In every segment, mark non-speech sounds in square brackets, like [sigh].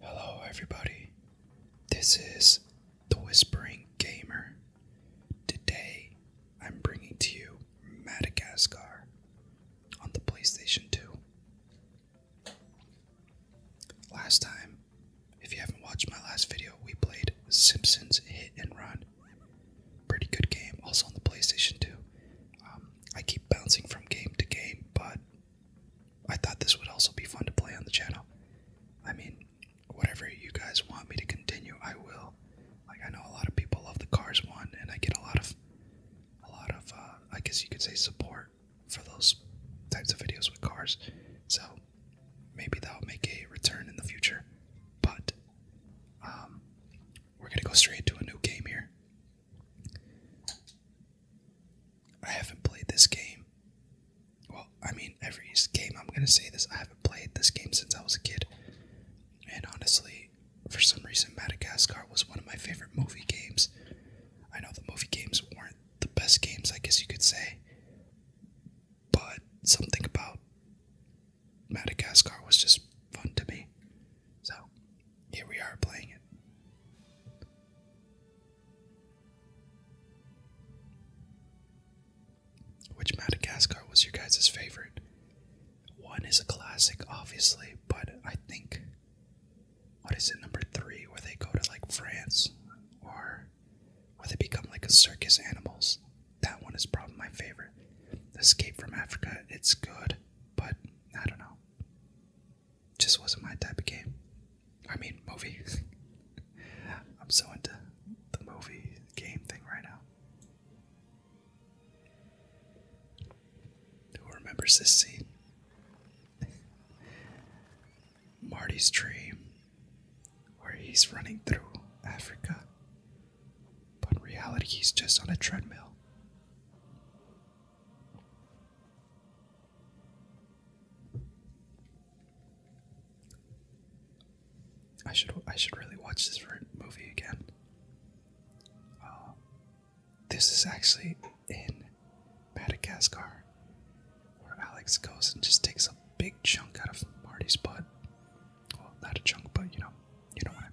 Hello, everybody. This is The Whispering Gamer. Today, I'm bringing to you Madagascar on the PlayStation 2. Last time, if you haven't watched my last video, we played Simpsons Hit and Run. Pretty good game, also on the PlayStation 2. Um, I keep bouncing from game to game, but I thought this would also be fun to play on the channel. I mean, whatever you guys want me to continue, I will. Like I know a lot of people love the Cars one, and I get a lot of, a lot of, uh, I guess you could say support for those types of videos with cars. So maybe that'll make a return in the future. But um, we're gonna go straight to a new game here. I haven't played this game. Well, I mean, every game I'm gonna say this, I haven't played this game since I was a kid. And honestly, for some reason, Madagascar was one of my favorite movie games. I know the movie games weren't the best games, I guess you could say, but something about Madagascar was just fun to me. So, here we are playing it. Which Madagascar was your guys' favorite? One is a classic, obviously, but I think. What is it, number three, where they go to like France or where they become like a circus animals? That one is probably my favorite. Escape from Africa, it's good, but I don't know just wasn't my type of game. I mean, movies. [laughs] I'm so into the movie game thing right now. Who remembers this scene? [laughs] Marty's dream, where he's running through Africa, but in reality, he's just on a treadmill. I should I should really watch this movie again. Uh, this is actually in Madagascar, where Alex goes and just takes a big chunk out of Marty's butt. Well, not a chunk, but you know, you know what I mean.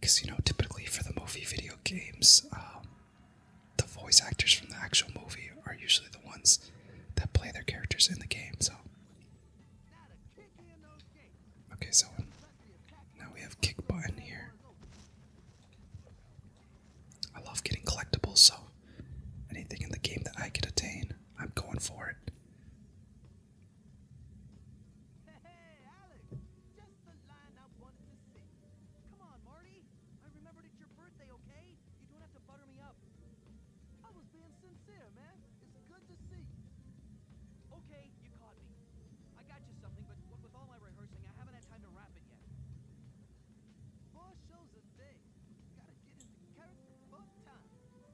Because, you know, typically for the movie video games, um, the voice actors from the actual movie are usually the ones that play their characters in the game, so. Okay, so now we have kick button here. I love getting collectibles, so anything in the game that I can attain, I'm going for it. Hey, Alex! Just the line I wanted to see. Come on, Marty! I remembered it's your birthday, okay? You don't have to butter me up. I was being sincere, man. It's good to see you. Okay, you caught me. I got you something, but with all my rehearsing, I haven't had time to wrap it yet. Four shows a day. Gotta get into character full time.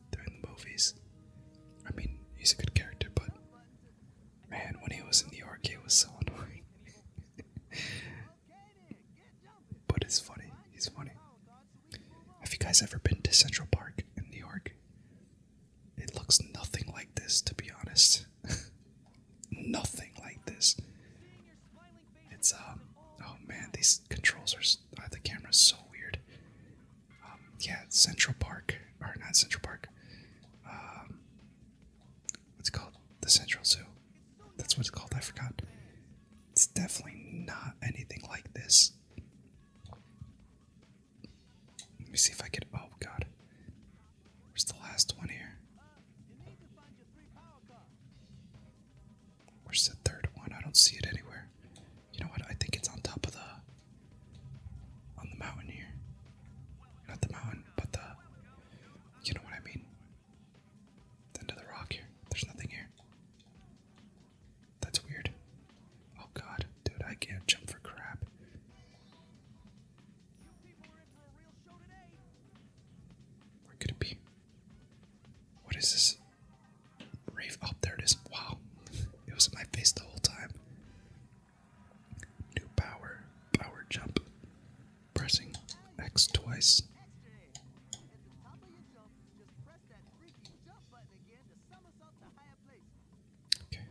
during the movies. I mean, he's a good character, but man, when he was in New York, it was so [laughs] annoying. but it's funny. He's funny. Have you guys ever been to Central Park in New York? It looks nothing like this, to be honest. [laughs] nothing like this. It's um. Oh man, these controls are. Uh, the camera's so weird yeah, Central Park, or not Central Park, um, what's called? The Central Zoo. That's what it's called, I forgot. It's definitely not anything like this. Let me see if I can. Oh god. Where's the last one here? Where's the third one? I don't see it anywhere. You know what? I think it's on top of the on the mountain here. Not the mountain, but the you know what I mean. The end rock here. There's nothing here. That's weird. Oh god, dude, I can't jump for crap. Where could it be? What is this? Rave. there it is. Wow. It was in my face the whole time. New power. Power jump. Pressing X twice. Okay.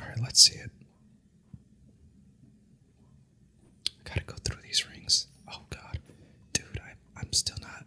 Alright, let's see it. gotta go through these rings. Oh god. Dude, I, I'm still not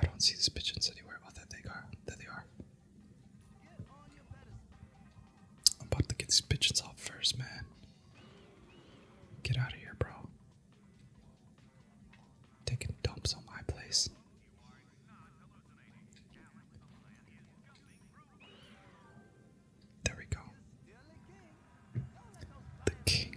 I don't see these pigeons anywhere. Oh, there they are. There they are. I'm about to get these pigeons off first, man. Get out of here, bro. Taking dumps on my place. There we go. The king.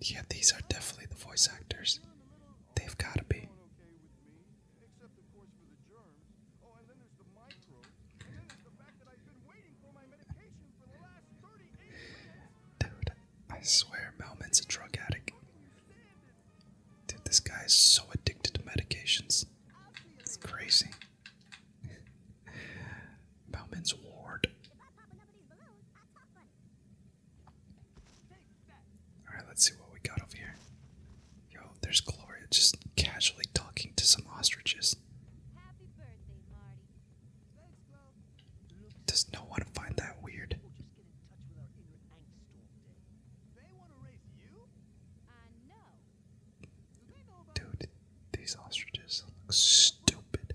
Yeah, these are definitely the voice actors. They've got to be. Dude, I swear Melman's a drug addict. Dude, this guy is so addicted to medications. It's crazy. Bowman's ward. Alright, let's see what we got over here. Yo, there's Gloria just casually talking to some ostriches. Does no one find that weird? Dude, these ostriches look stupid.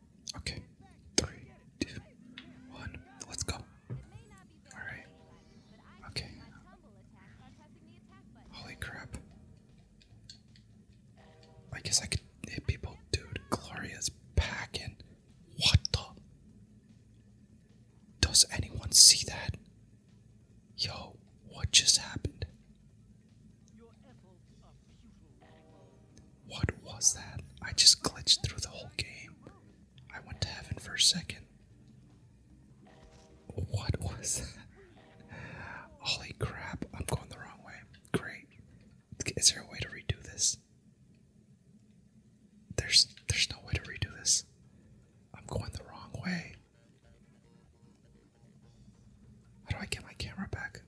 Okay, three, two, one. Let's go. All right. Okay. Holy crap. I guess I could hit people, dude. Gloria's packing. What the? Does anyone see that? Yo, what just happened? What was that? I just glitched through the whole game. I went to heaven for a second. What was that? Holy crap, I'm going the wrong way. Great. Is there a way to redo this? There's there's no way to redo this. I'm going the wrong way. How do I get my camera back?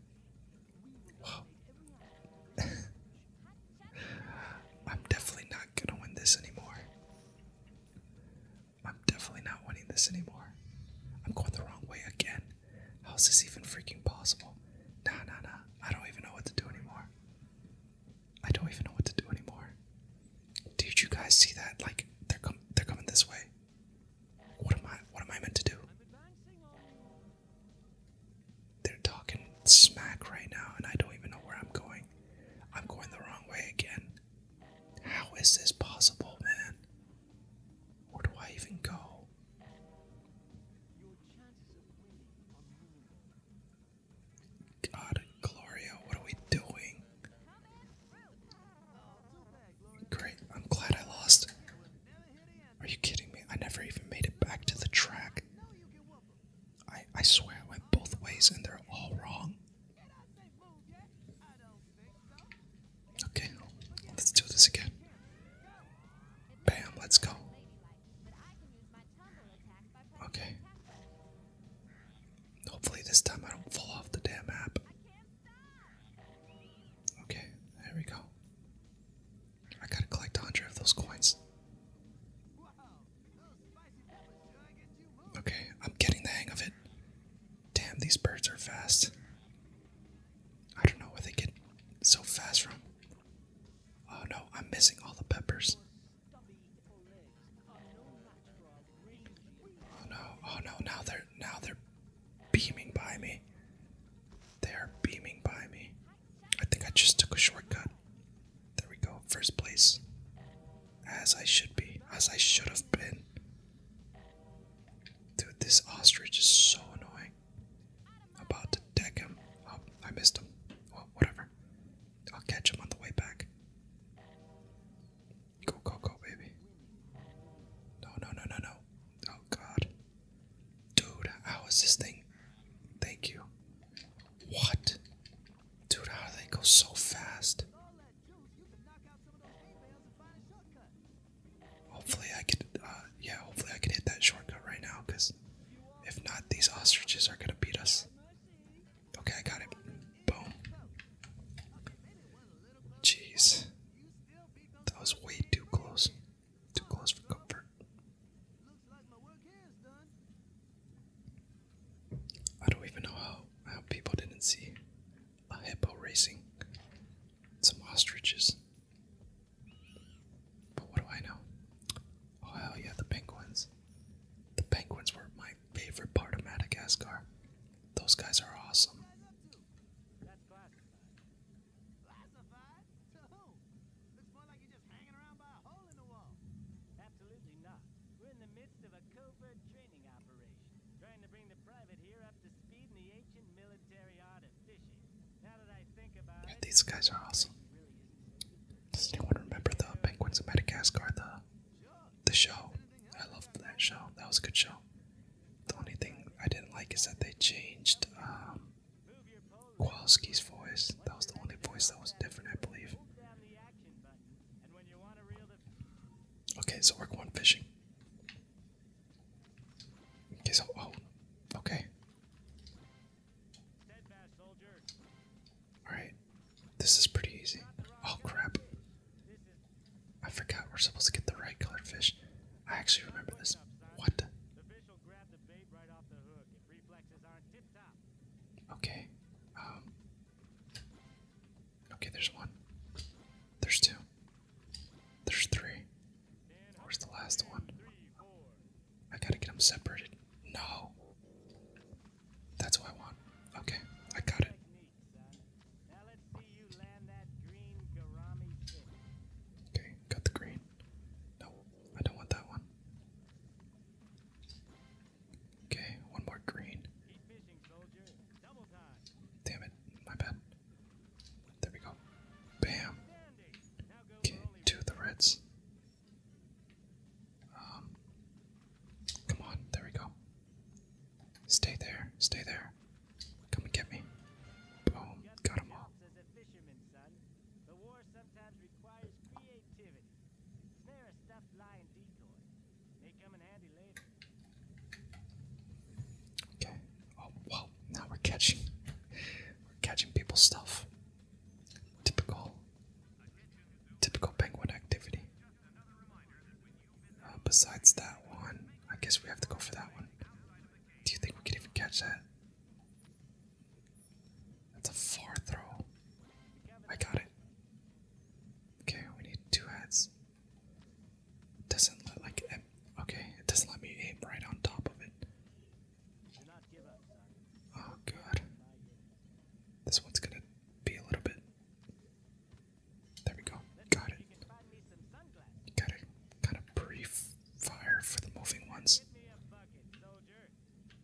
[laughs] I'm definitely not gonna win this anymore. I'm definitely not winning this anymore. I'm going the wrong way again. How is this even freaking possible? Nah, nah, nah. I don't even know what to do anymore. I don't even know what to do anymore. Did you guys see that? Like they're com they're coming this way. What am I what am I meant to do? They're talking smack right now, and I don't even know where I'm going. I'm going the wrong way again. How is this possible, man? Where do I even go? God, Gloria, what are we doing? Great, I'm glad I lost. Are you kidding me? I never even made it back to the track. I, I swear it went both ways and they're all wrong. Okay, let's do this again. Bam, let's go. Okay. Hopefully this time I don't fall off the damn app. Okay, there we go. I gotta collect a hundred of those coins. Okay, I'm getting the hang of it. Damn, these birds are fast. I don't know where they get so fast from. Oh no, I'm missing all the peppers. Oh no, oh no, now they're now they're beaming by me. They are beaming by me. I think I just took a shortcut. There we go, first place. As I should be, as I should have been. Dude, this ostrich is so annoying. About to deck him. Oh, I missed him. Well, oh, whatever. I'll catch him on the way back. Go, go, go, baby. No, no, no, no, no. Oh, God. Dude, how is this thing? Thank you. What? Dude, how do they go so fast? Hopefully I could, uh, yeah, hopefully I can hit that shortcut right now, because if not, these ostriches are gonna beat us. Okay, I got it. Boom. Jeez. That was way too close. Too close for comfort. I don't even know how, how people didn't see a hippo racing some ostriches. But what do I know? Oh, hell yeah, the penguins. The penguins were my favorite part of Madagascar. Those guys are awesome. We're in the midst of a covert training operation, trying to bring the private here up to speed in the ancient military art these guys are awesome. Does anyone remember the Penguins of Madagascar, the show? I loved that show. That was a good show. The only thing I didn't like is that they changed um, Kowalski's voice. That was the only voice that was different, I believe. Okay, so we're going fishing. Okay, so oh, okay. All right, this is pretty easy. Oh crap! I forgot we're supposed to get the right colored fish. I actually remember this. What? Okay. Um, okay, there's one. There's two. There's three. Where's the last one? I gotta get them separated. No. That's what I want. Okay, I got it. Okay, got the green. No, I don't want that one. Okay, one more green. Damn it, my bad. There we go. Bam. Okay, two of the reds. Um, come on, there we go. Stay there, stay there. Come and get me. Boom, got them all. Okay. Oh wow, now we're catching we're catching people's stuff. Typical typical penguin activity. Uh, besides that one, I guess we have to go for that one. Do you think we could even catch that? That's a far throw. I got it. Okay, we need two heads. It doesn't let like okay, it doesn't let me aim right on top of it. Oh god. This one's gonna be a little bit. There we go. Got it. Gotta kind of brief fire for the moving ones.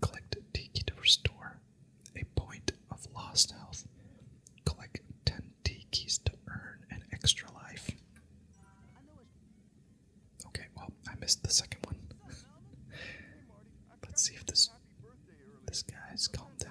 Collect Tiki to restore a point of lost health. Collect 10 Tikis to earn an extra life. Okay, well, I missed the second one. [laughs] Let's see if this this has calmed down.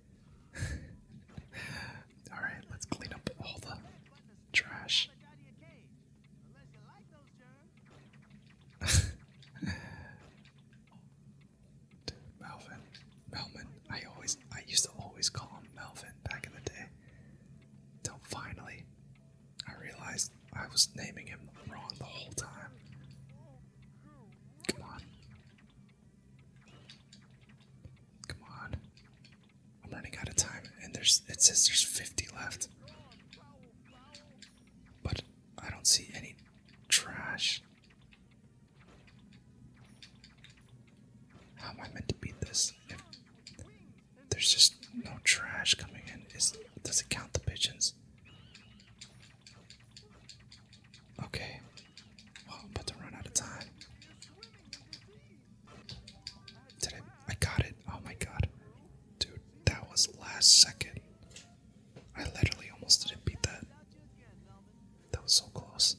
[laughs] Alright, let's clean up all the trash. [laughs] Melvin. Melvin. I always I used to always call him Melvin back in the day. Until finally I realized I was naming him wrong the whole time. Come on. Come on. I'm running out of time, and there's it says there's 50 left. But I don't see any trash. How am I meant to beat this? If there's just no trash coming in. Is does it count the pigeons? Okay. I'm about to run out of time. Did I? I got it. Oh my god. Dude, that was last second. I literally almost didn't beat that. That was so close.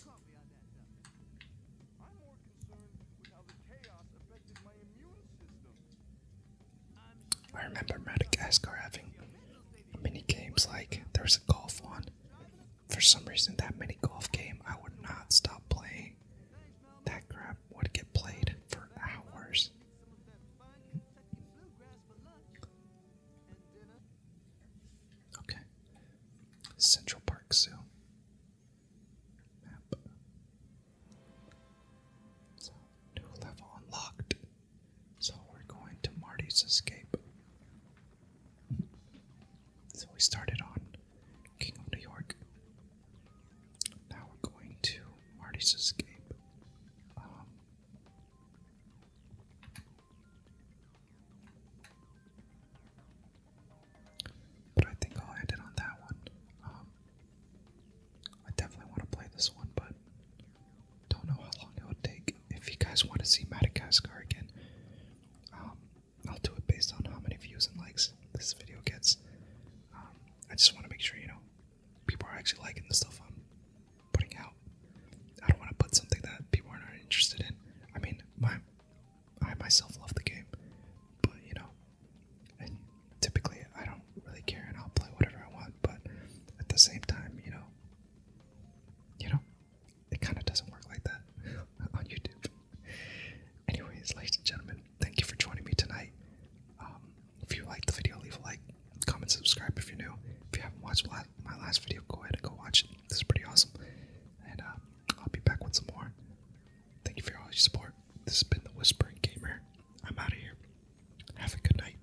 I remember Madagascar having mini games like there was a golf one for some reason that mini golf game I would not stop playing. That crap would get played for hours. Okay. Central Park Zoo. new level unlocked. So, we're going to Marty's Escape. So we started on King of New York. Now we're going to Marty's Escape. Um, but I think I'll end on that one. Um, I definitely want to play this one, but don't know how long it would take. If you guys want to see Madagascar again, um, I'll do it based on how many views and likes this video gets. Um, I just want to make sure, you know, people are actually liking the stuff I'm putting out. I don't want to put something that people are not interested in. I mean, my I myself love the game, but you know, typically I don't really care, and I'll play whatever I want. But at the same time, you know, you know, it kind of doesn't work like that [laughs] on YouTube. Anyways, ladies and gentlemen, thank you for joining me tonight. Um, if you liked the video, leave a like, comment, subscribe if you're new. If you haven't watched my last video, go ahead and go watch it. This is pretty awesome. And um, I'll be back with some more. Thank you for all your support. This has been The Whispering Gamer. I'm out of here. Have a good night.